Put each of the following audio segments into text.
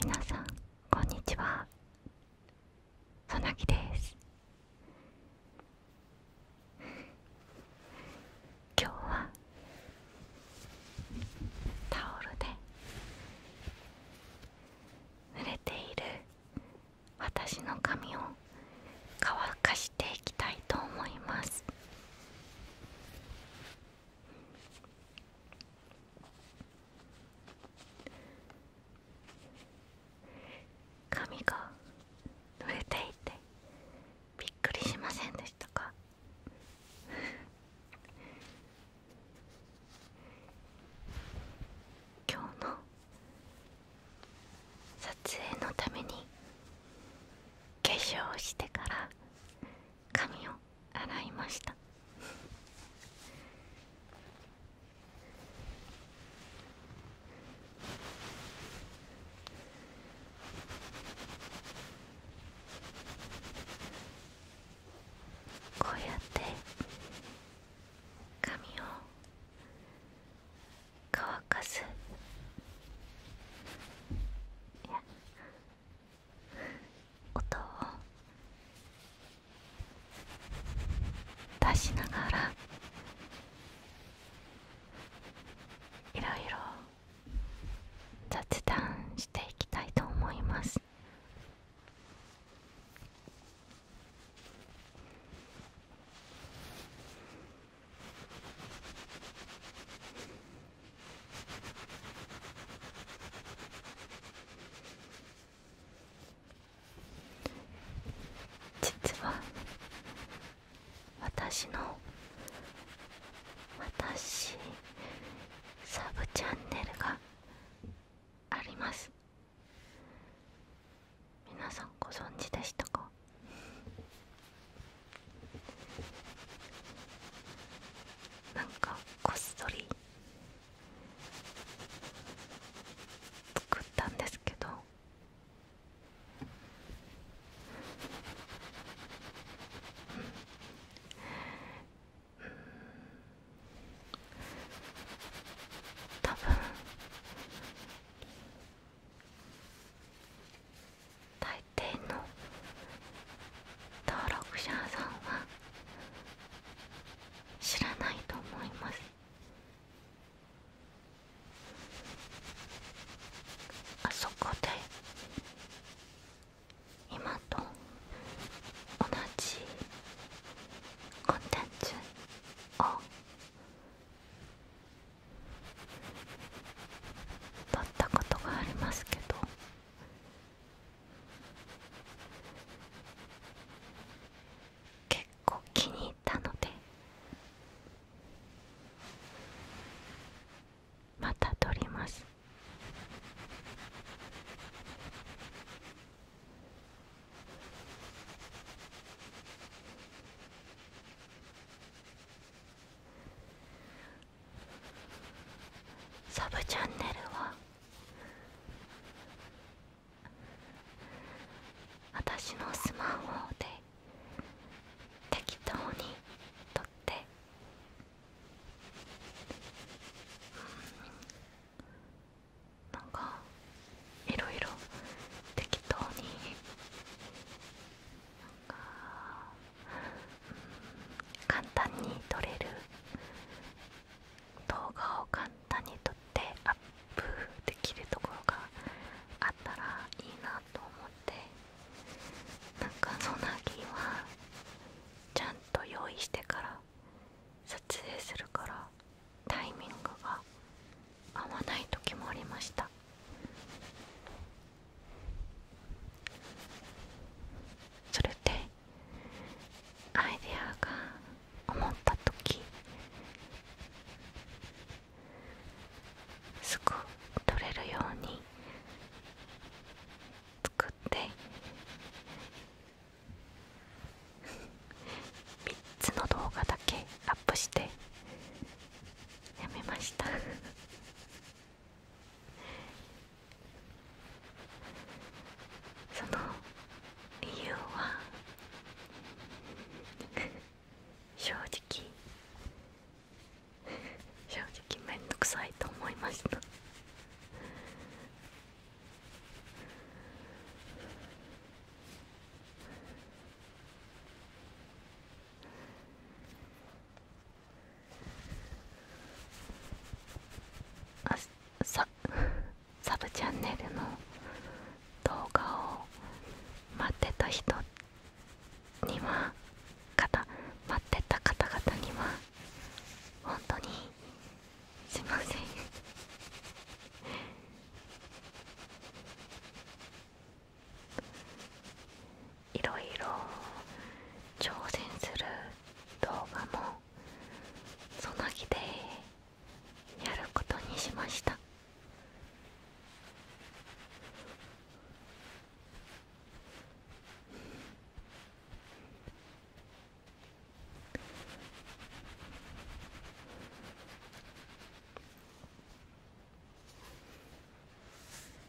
皆さんこんにちはそなぎです今日はタオルで濡れている私の髪を乾かしていきたいと思います髪が濡れていてびっくりしませんでしたか 今日の撮影のために化粧してから髪を洗いましたこうやって髪を乾かすいや音を出しながらいろいろ雑談していきたいと思います。実は私の私サブチャンネルがあります皆さんご存知でしたかなんかこっそり作ったんですけどうんうん多分大大の登録者さんは知らないと思いますあそこで今と同じコンテンツを撮ったことがありますけど結構気に入ったのでまた撮りますサブチャンネルは私のスマホで適当に撮って、うん、なんかいろいろ適当になんか簡単に撮れる動画を簡単に撮ってアップできるところがあったらいいなと思ってなんかソナギはちゃんと用意してから撮影するからタイミングが合わない時もありましたそれで。アイデアが思った時すぐ取れるように作って3つの動画だけアップしてやめましたその理由は正直正直めんくさいと思いましたあさサブチャンネルの動画を待ってた人には方待ってた方々には本当にすいません。いろいろ挑戦する動画もその日でやることにしました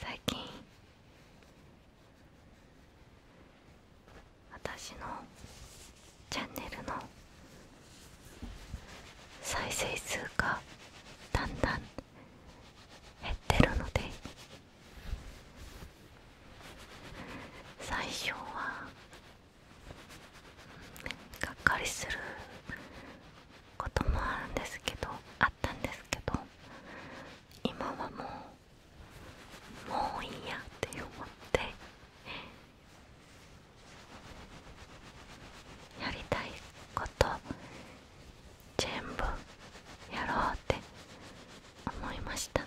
最近私のチャンネルの再生数がだんだん減ってるので最初はがっかりすることもあるんですけどあったんですけど今はもうもういいやって思ってやりたいこと全部やろうって思いました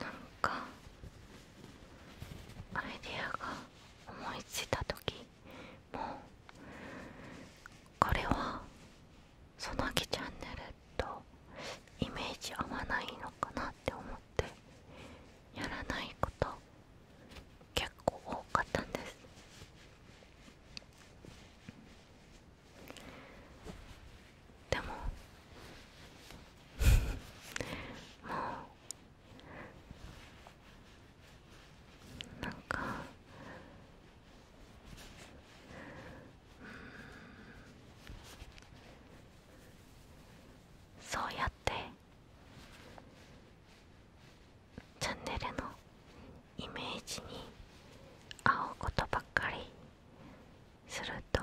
なんかアイディアが思いついた時もうこれはそのきチャンネルとイメージ合わないのかなって思ってやらないこと結構多かったんですでももう なんかそうやってチャンネルのイメージに合うことばっかりすると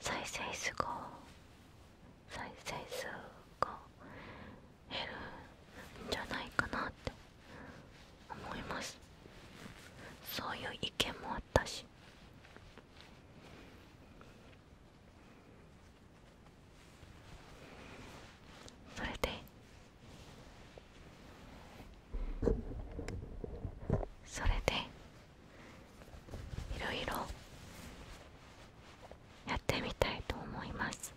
再生数が再生数が減るんじゃないかなって思いますそういう意見もあったしそれでそれでいろいろやってみたいと思います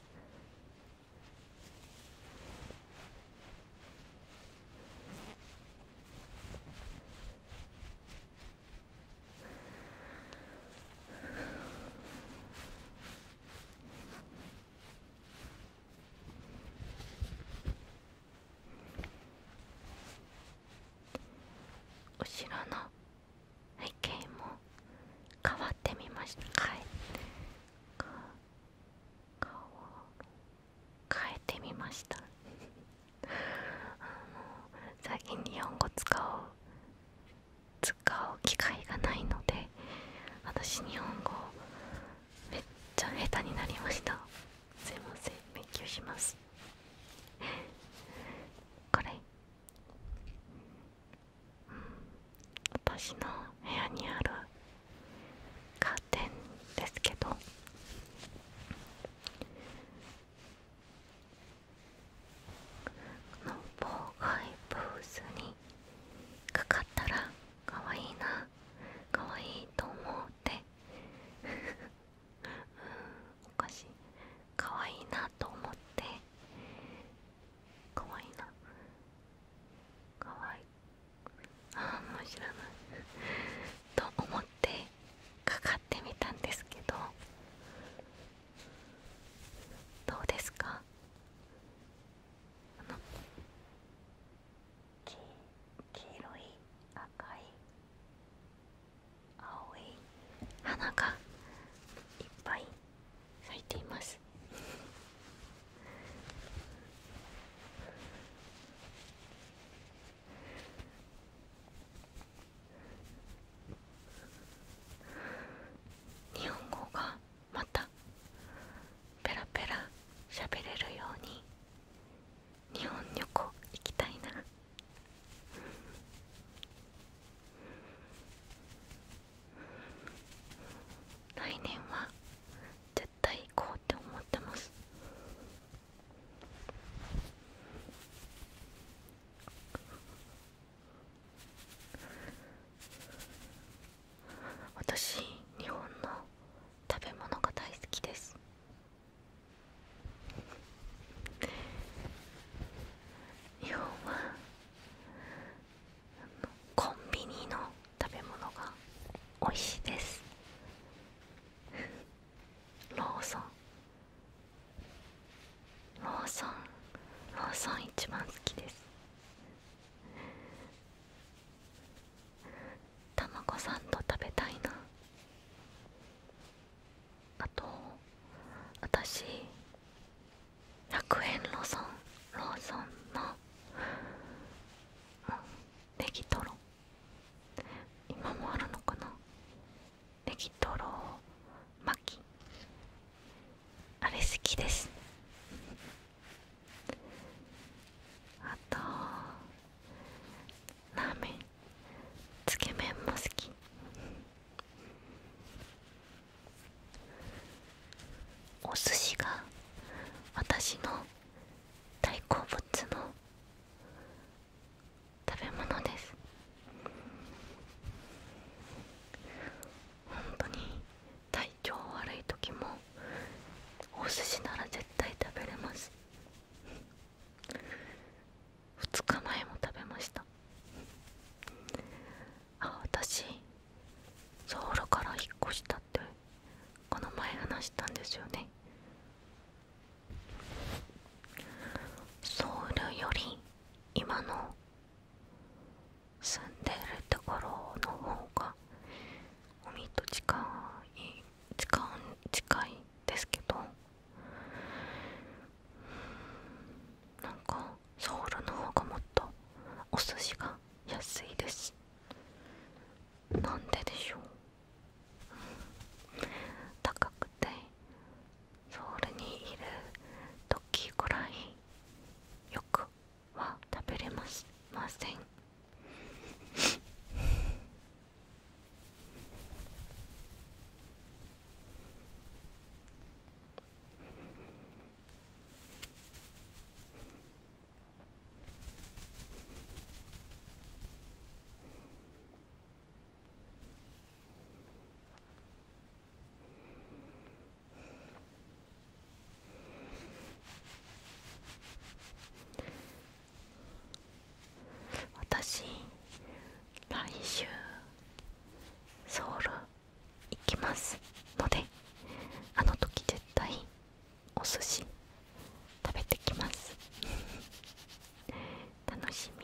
後ろの背景も変わってみました変い。顔を変えてみました最近日本語使う使う機会がないので私日本語めっちゃ下手になりましたすいません勉強しますこれ私の部屋にあるカーテンですけどこの妨害ブースにかかったらかわいいなかわいいと思って うんおかしいかわいいなと思ってかわいいなかわいああもう知らないと思ってかかってみたんですけどどうですかあの黄色い赤い青い花がいっぱい咲いています日本語がまたペラペラしゃべれるように日本旅行行きたいな来年は絶対行こうって思ってます私日本の食べ物が大好きです日本はコンビニの食べ物が美味しいですローソンローソンローソン一番好きですたまごサンド食べたいなあと私楽園ローソンローソンのネギトロ今もあるのかなネギトロ巻きあれ好きですあとラーメンつけ麺も好きお寿司が私の大好物の食べ物です本当に体調悪い時もお寿司なら絶対食べれます2日前も食べましたあ私ソウルから引っ越したってこの前話したんですよねソウルより今の住んでるところの方が海と近い近い近いですけどなんかソウルの方がもっとお寿司が安いですなんででしょう高くてソウルにいる時ぐらいよくは食べれますません私来週ソウル行きますのであの時絶対お寿司食べてきます 楽しみ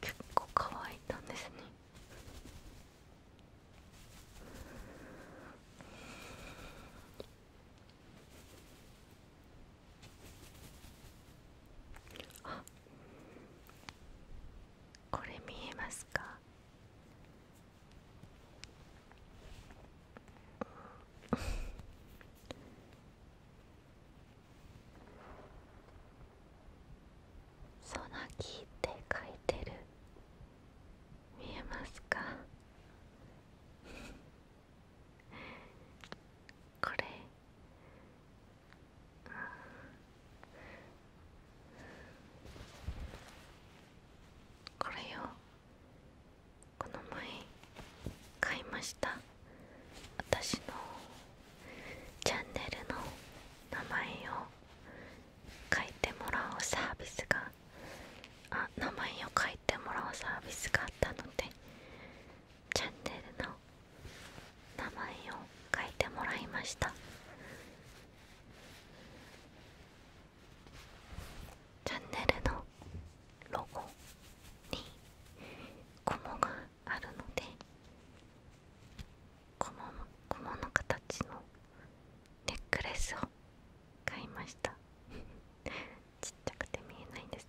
結構乾いたんですねあこれ見えますか「ソナキって書いてる見えますか これこれよこの前買いました私のチャンネルの名前を書いてもらうサービスがあ名前を書いてもらうサービスがあったのでチャンネルの名前を書いてもらいましたチャンネルのロゴにコモがあるのでコモのコモの形のネックレスを買いました ちっちゃくて見えないんですね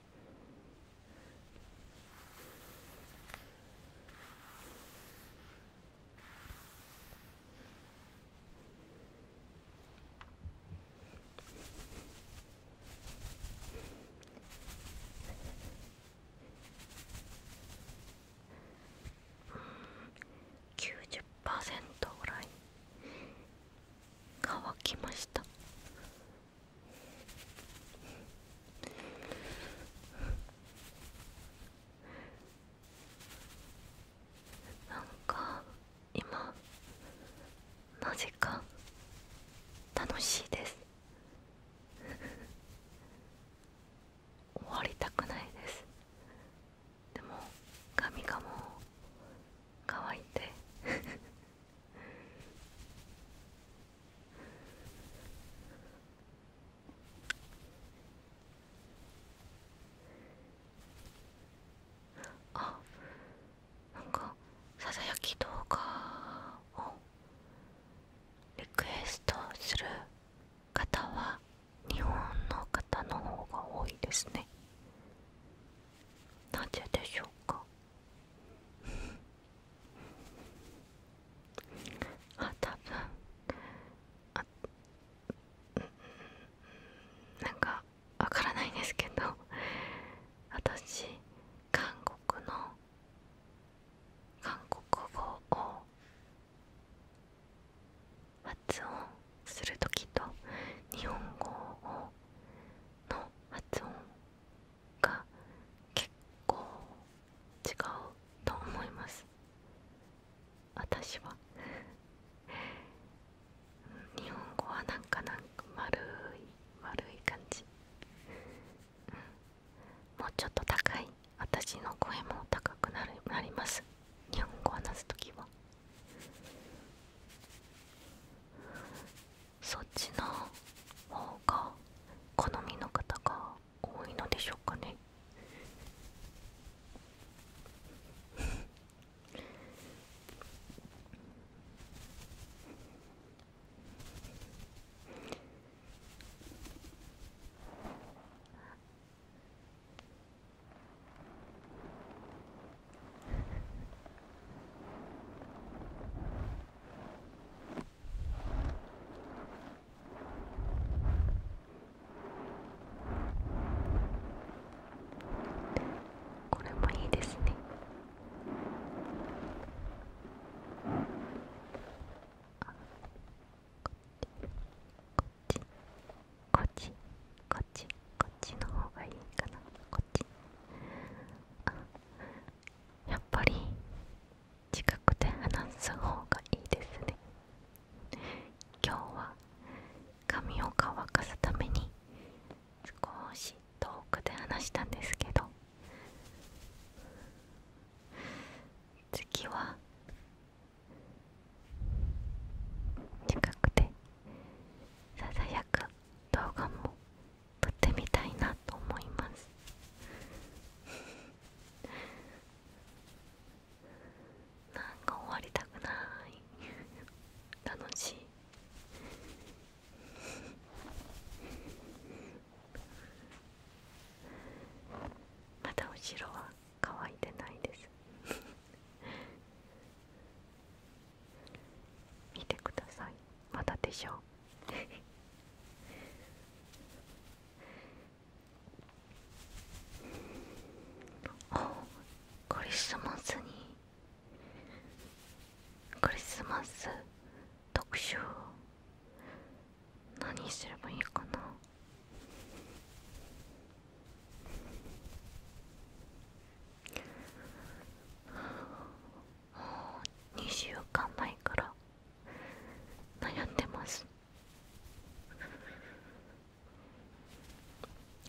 90%ぐらい乾きましたなんか今なぜか楽しいです 終わりたくないですでも髪がもう乾いてあなんかささやき動画をリクエストする方は日本の方の方が多いですねなぜでしょうかあ多分あなんかわからないですけど私韓国の韓国語を発音する時と日本語をの発音が結構違うと思います私は日本語はなんかなか丸い丸い感じ、もうちょっと高い私の声も高くなるなります日本語話すときはそっちの方が好みの方が多いのでしょうかねこれもいいですねこっちこっちこっちこっちこっちの方がいいかなこっちあやっぱり近くで話す方がいいですね今日は髪を乾かすために少し遠くで話したんですけど次は近くでささやく動画も撮ってみたいなと思います なんか終わりたくない楽しい まだ後ろは乾いてないです 見てくださいまだでしょうおクリスマスにクリスマス特集何すればいいかな2週間前から悩んでます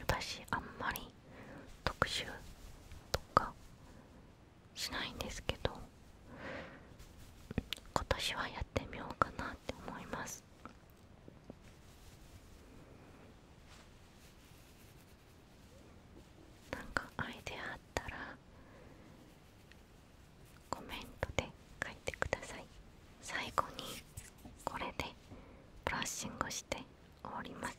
私あんまり特集とかしないんですけど今年はやってみようかなって思いますなんかアイデアあったらコメントで書いてください最後にこれでブラッシングしております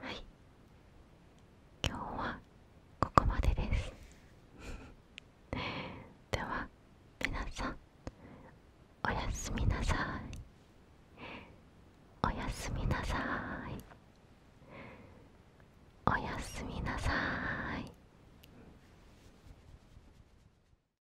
はい今日はここまでです では皆さんおやすみなさいおやすみなさいおやすみなさい